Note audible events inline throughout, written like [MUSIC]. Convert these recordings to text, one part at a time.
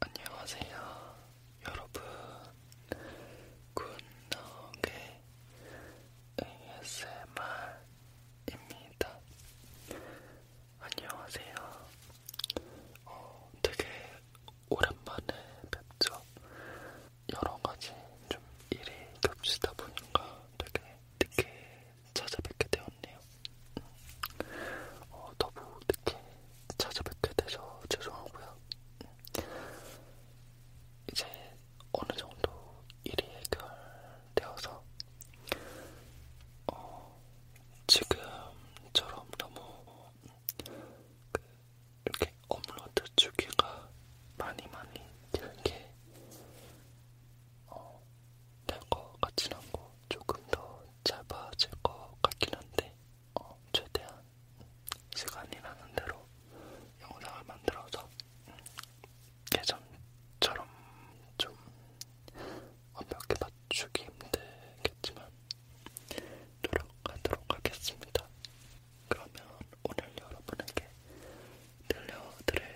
안녕하세요, 여러분. 굿노게 ASMR입니다. 안녕하세요. 어, 되게 오랜만에 뵙죠. 여러 가지 좀 일이 겹치다 보니까 되게 늦게 찾아뵙게 되었네요. 어, 너무 늦게 찾아뵙게 돼서 죄송하고요. 이제 어느 정도 일이 해결되어서 어, 지금처럼 너무 그, 이렇게 업로드 주기가 많이 많이 이렇게 어, 될것 같진 않고 조금 더 짧아질 것 같긴 한데 어, 최대한 시간이 나는 대로 영상을 만들어서 예전처럼 좀 완벽히 맞추기 힘들겠지만 노력하도록 하겠습니다. 그러면 오늘 여러분에게 들려드릴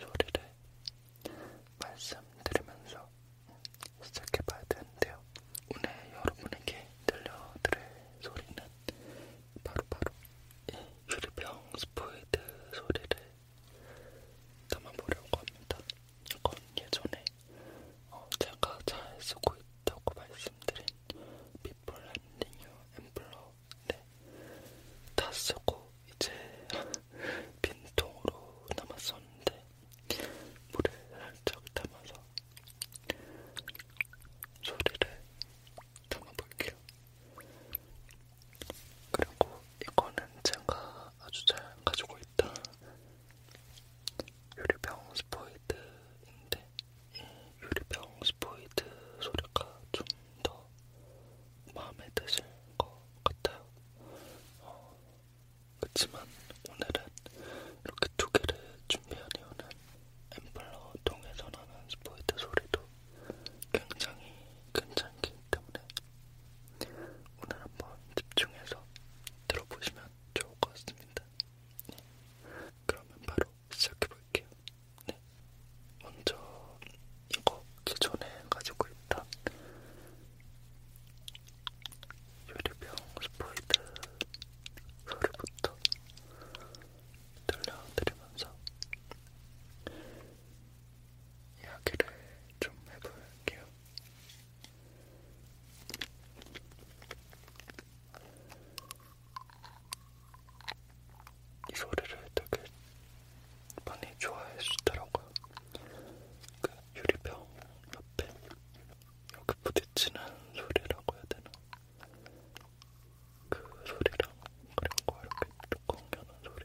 소리를 말씀드리면서 시작해봐야 되는데요. 오늘 여러분에게 들려드릴 소리는 바로바로 이 유리병 스포이드 소리를 담아보려고 합니다. 이건 예전에 어, 제가 잘 쓰고 있다고 말씀드린 비폴 앤딩유 앰플러 네, 다 쓰고 이제 [LAUGHS] 빈통으로 남았었는데 물에 살짝 담아서 소리를 담아볼게요. 그리고 이거는 제가 아주 잘 가지고 있던 유리병 스포이드인데 이 유리병 스포이드 소리가 좀 더 마음에 드실 것 같아요. 어, 그치만 오늘은 이렇게 두 개를 준비한 이유는 앰플러 통에서 나는 스포이트 소리도 굉장히 괜찮기 때문에 오늘 한번 집중해서 들어보시면 좋을 것 같습니다. 네. 그러면 바로 시작해볼게요. 네. 먼저 이거 기존에 가지고 있던 유리병 스포이드 소리부터 들려드리면서 이야기를 좀 해볼게요. 이 소리를 되게 많이 좋아해 주더라고요. 그 유리병 옆에 여기 부딪히는 소리라고 해야 되나? 그 소리랑 그리고 이렇게 뚜껑 여는 소리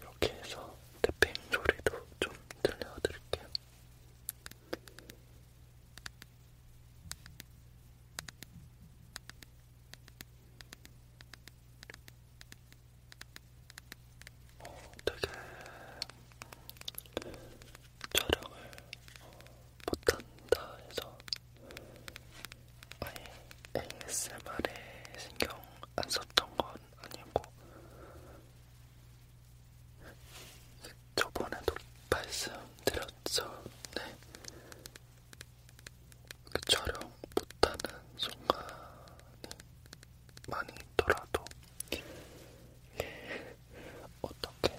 이렇게 해서 태핑 소리도 좀 들려드릴게요. 어, 되게 촬영을 어, 못한다 해서 아예 ASMR에 신경 안 썼던 건 아니고 저번에도 말씀드렸죠. 네. 그 촬영 못하는 순간이 많이 있더라도 예. 어떻게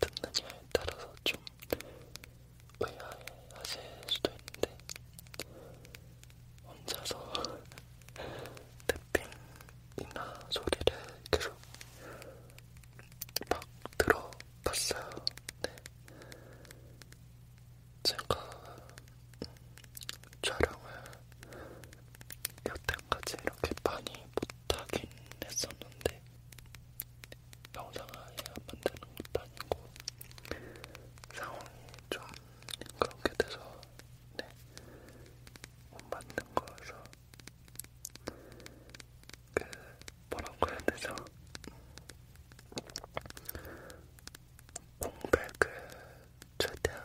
듣느냐에 따라서 좀 의아해 하실 수도 있는데, 혼자서 [LAUGHS] 탭핑이나 소리를 계속 막 들어봤어요. 네. 제가 촬영을 여태까지 이렇게 많이 못하긴 했었는데 영상 아예 안 만드는 것도 아니고 상황이 좀 그렇게 돼서 네, 못 만든 거여서 그 뭐라고 해야 되죠? 공백을 그 최대한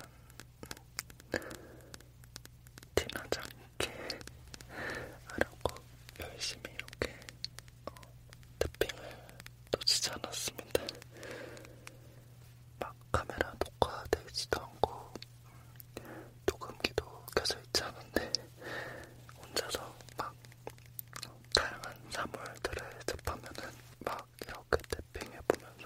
티나지 않게 하려고 열심히 이렇게 어, 태핑을 놓치지 않았습니다. 막 카메라 녹화되지도 않고 녹음기도 켜져 있지 않은데 혼자서 막 다양한 사물들을 접하면은 막 이렇게 태핑해 보면서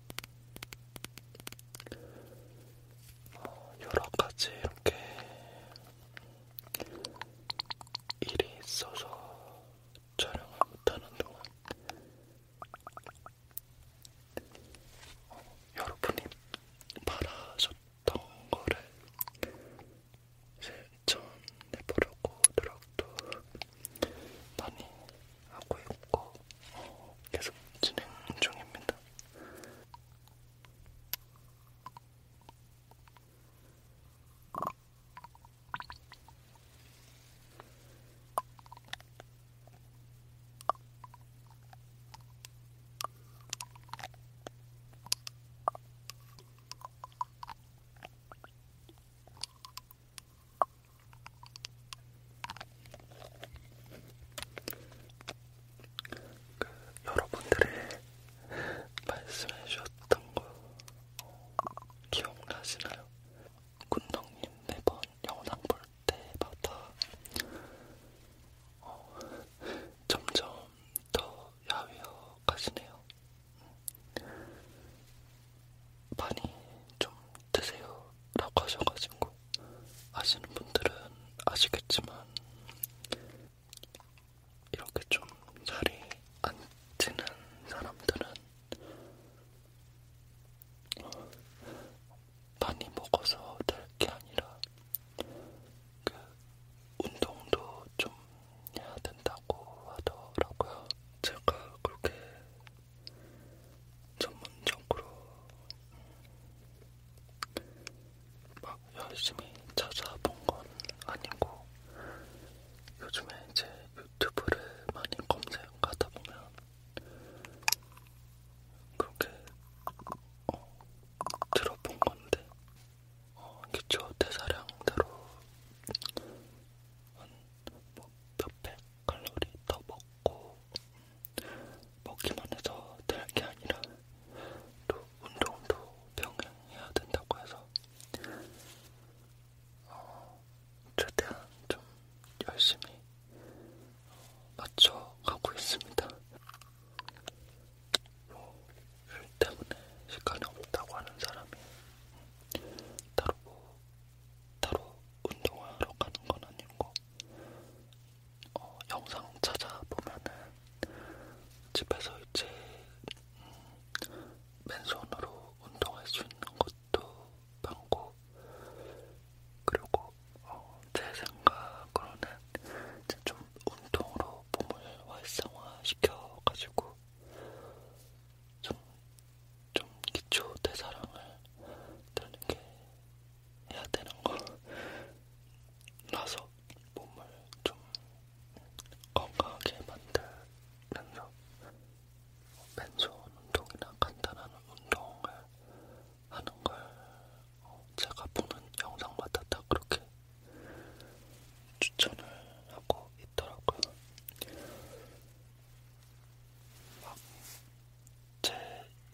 어, 여러 가지 이렇게 일이 있어서 촬영을 못하는 동안 어, 여러분이 바라셨던 거를 실천해보려고 노력도 많이 하고 있고 어, 계속 진행 중입니다. 그 여러분들의 말씀해 주셨던 거 기억나시나요? 군덕님 매번 네 영상 볼 때마다 어, 점점 더 야위어 가시네요. 많이 좀 드세요 라고 하셔가지고 아시는 분들은 아시겠지만 이렇게 좀 자리 앉히는 사람들은 많이 먹어서 될 게 아니라 그 운동도 좀 해야 된다고 하더라고요. 제가 그렇게 전문적으로 막 열심히 찾아본 건 아니고 요즘에 이제 유튜브를 많이 검색하다 보면 그렇게 어, 들어본 건데 어, 기초 대사량대로 한뭐 몇백 칼로리 더 먹고 먹기만 해서 될 게 아니라 또 운동도 병행해야 된다고 해서 어, 최대한 좀 열심히 어, 맞춰가고 있습니다. 뭐, 일 때문에 시간이 없다고 하는 사람이 따로 뭐 따로 운동하러 가는 건 아니고 어, 영상 찾아보면은 집에서 이제 음, 맨손으로 운동할 수 있는 것도 많고 그리고 어, 제 생각으로는 이제 좀 운동으로 몸을 활성화시켜가지고 좀, 좀 기초 대사랑을 다르게 해야 되는 거라서 [LAUGHS] 몸을 좀 건강하게 만들면서 맨손 운동이나 간단한 운동을 하는 걸 어, 제가 보는 영상마다 다 그렇게 추천을 하고 있더라고요. 막제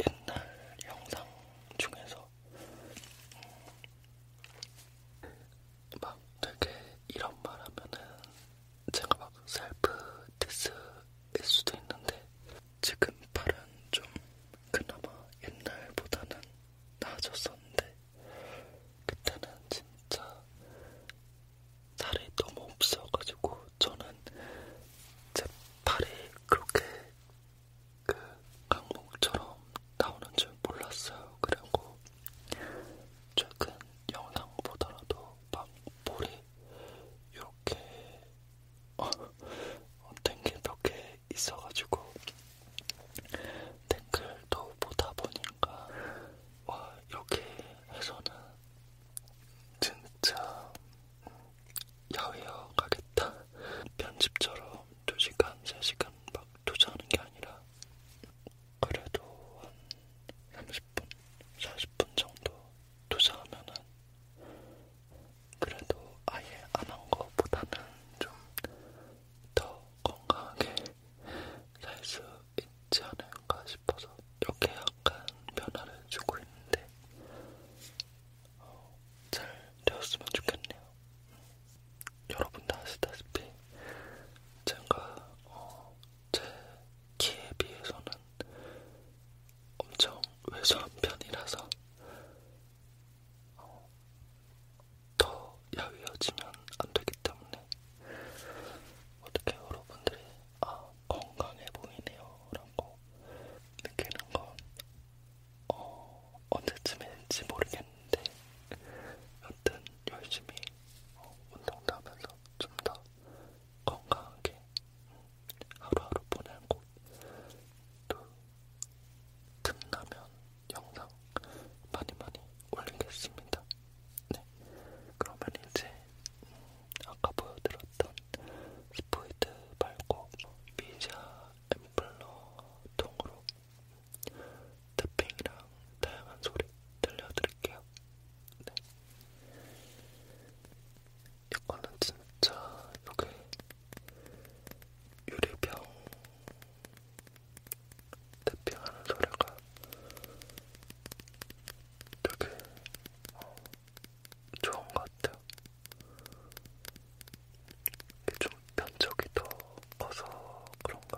옛날 영상 중에서 음막 되게 이런 말 하면은 제가 막 셀프 디스일 수도 있는데 지금 팔은 좀 그나마 옛날보다는 나아졌었는데 그때는 진짜 살이 너무 없어가지고 저는 제 팔이 그렇게 그 강목처럼 나오는 줄 몰랐어요. 그리고 최근 영상 보더라도 막 볼이 이렇게 어, 탱글 몇개 있어가지고 탱글도 보다 보니까 와 이렇게 해서는 진짜 야외여 가겠다. 편집처럼 2시간, 3시간 막 투자하는 게 아니라 그래도 한 30분, 40분 정도 투자하면은 그래도 아예 안한 거보다는 좀 더 건강하게 살수 있지 않을까 싶어서 이렇게 약간 변화를 주고 있는데 어, 잘 되었으면 좋겠네요. 여러분도 아시다시피 제가 어, 제 키에 비해서는 엄청 왜소한 편이라서 어, 더 야위어지면 안 되기 때문에 어떻게 여러분들이 아, 건강해 보이네요. 라고 느끼는 건, 어, 언제쯤인지 모르겠는데, 여튼 열심히 어, 운동도 하면서 좀 더 건강하게 음, 하루하루 보내고, 또, 틈나면 영상 많이 많이 올리겠습니다. 네. 그러면 이제, 음, 아까 보여드렸던 스포이드 말고 미자 앰플러 통으로 탭핑이랑 다양한 소리 들려드릴게요. 네. 이거는 진짜 여기 유리병 탭핑하는 소리가 되게 어, 좋은 것 같아요. 이게 좀 면적이 더 커서 그런가?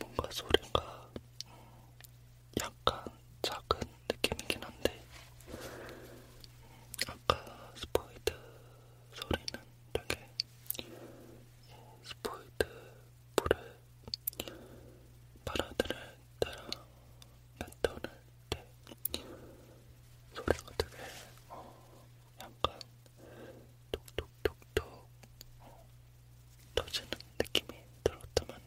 뭔가 소리가 약간 작은 느낌이긴 한데 아까 스포이드 소리는 되게 스포이드 물에 바라드를 따라 뱉어낼 때 소리가 되게 어, 약간 톡톡톡톡 어, 터지는 느낌이 들었다면은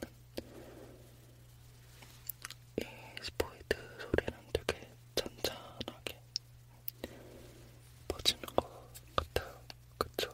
이 스포이드 소리는 되게 잔잔하게 퍼지는 것 같아요. 그쵸?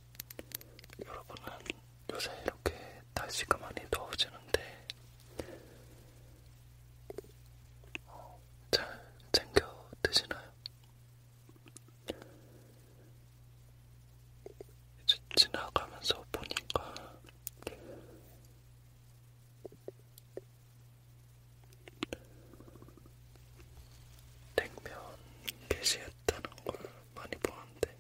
여러분은 요새 이렇게 날씨가 많이 더워지는데 어, 잘 챙겨 드시나요? 이제 지나가면서 보니까 냉면 게시했다는 걸 많이 보는데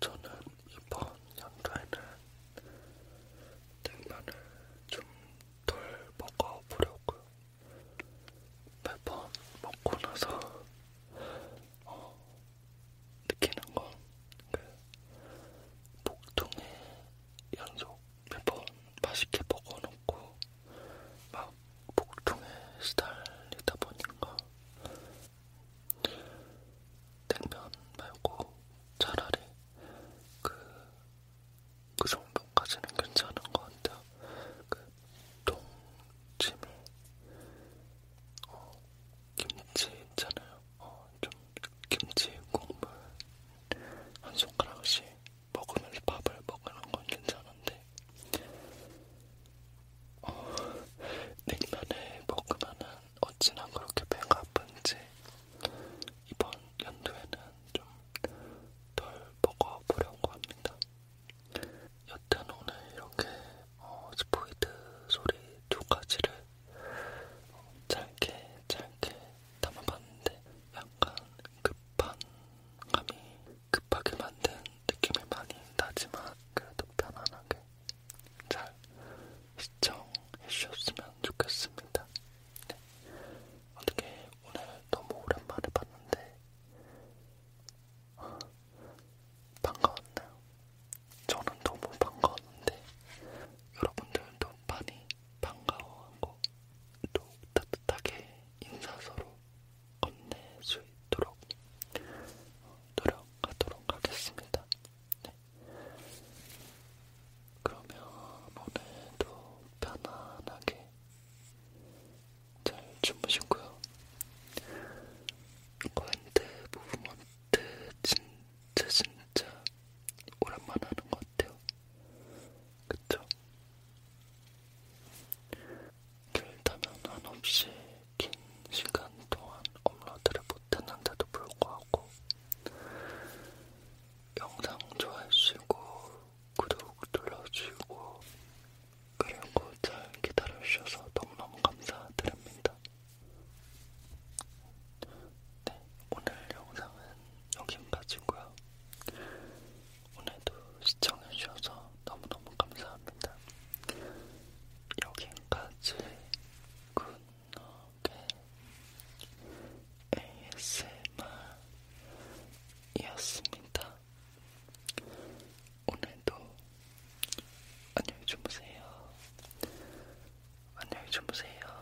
저는 이번 연도에는 냉면을 좀 덜 먹어보려고요. 매번 먹고 나서 어, 느끼는 건그 복통의 연속 매번 맛있게 먹어놓고 막 복통에 시달리다 보니까 냉면 말고 차라리 그, 그 정도까지는 괜찮은 것 같아요. 그 동치미, 어, 김치 있잖아요. 어, 좀 김치 국물 한 손가락씩 먹으면서 밥을 먹는 건 괜찮은데 어, 냉면을 먹으면은 어찌나 그렇게 배가 아픈지 이번 연도에는 좀 덜 먹어보려고 합니다. 여튼 오늘 이렇게 어, 스포이드 소리 두 가지를 어, 짧게 짧게 담아봤는데 약간 급한 감이 급하게 만든 느낌이 많이 나지만 그래도 편안하게 잘 시청해주셨으면 좋겠습니다. 네. 어떻게 오늘 너무 오랜만에 봤는데 어, 반가웠나요? 저는 너무 반가웠는데 여러분들도 많이 반가워하고 또 따뜻하게 인사 서로 건넬 수 있도록 어, 노력하도록 하겠습니다. 네. 그러면 오늘도 편안하게 잘 주무시고요. 관대 무브먼트 진짜 진짜 오랜만에 하는 것 같아요. 그쵸? 길다면 한없이 긴 시간 동안 업로드를 못했는데도 불구하고 영상 좋아해주시고 구독 눌러주시고 그리고 잘 기다려주셔서 너무너무 감사드립니다. 네, 오늘 영상은 여기까지고요. 오늘도 시청해주셔서 너무너무 감사합니다. 여기까지 굿노게 ASMR이었습니다. 오늘도 안녕히 주무세요. 안녕히 주무세요.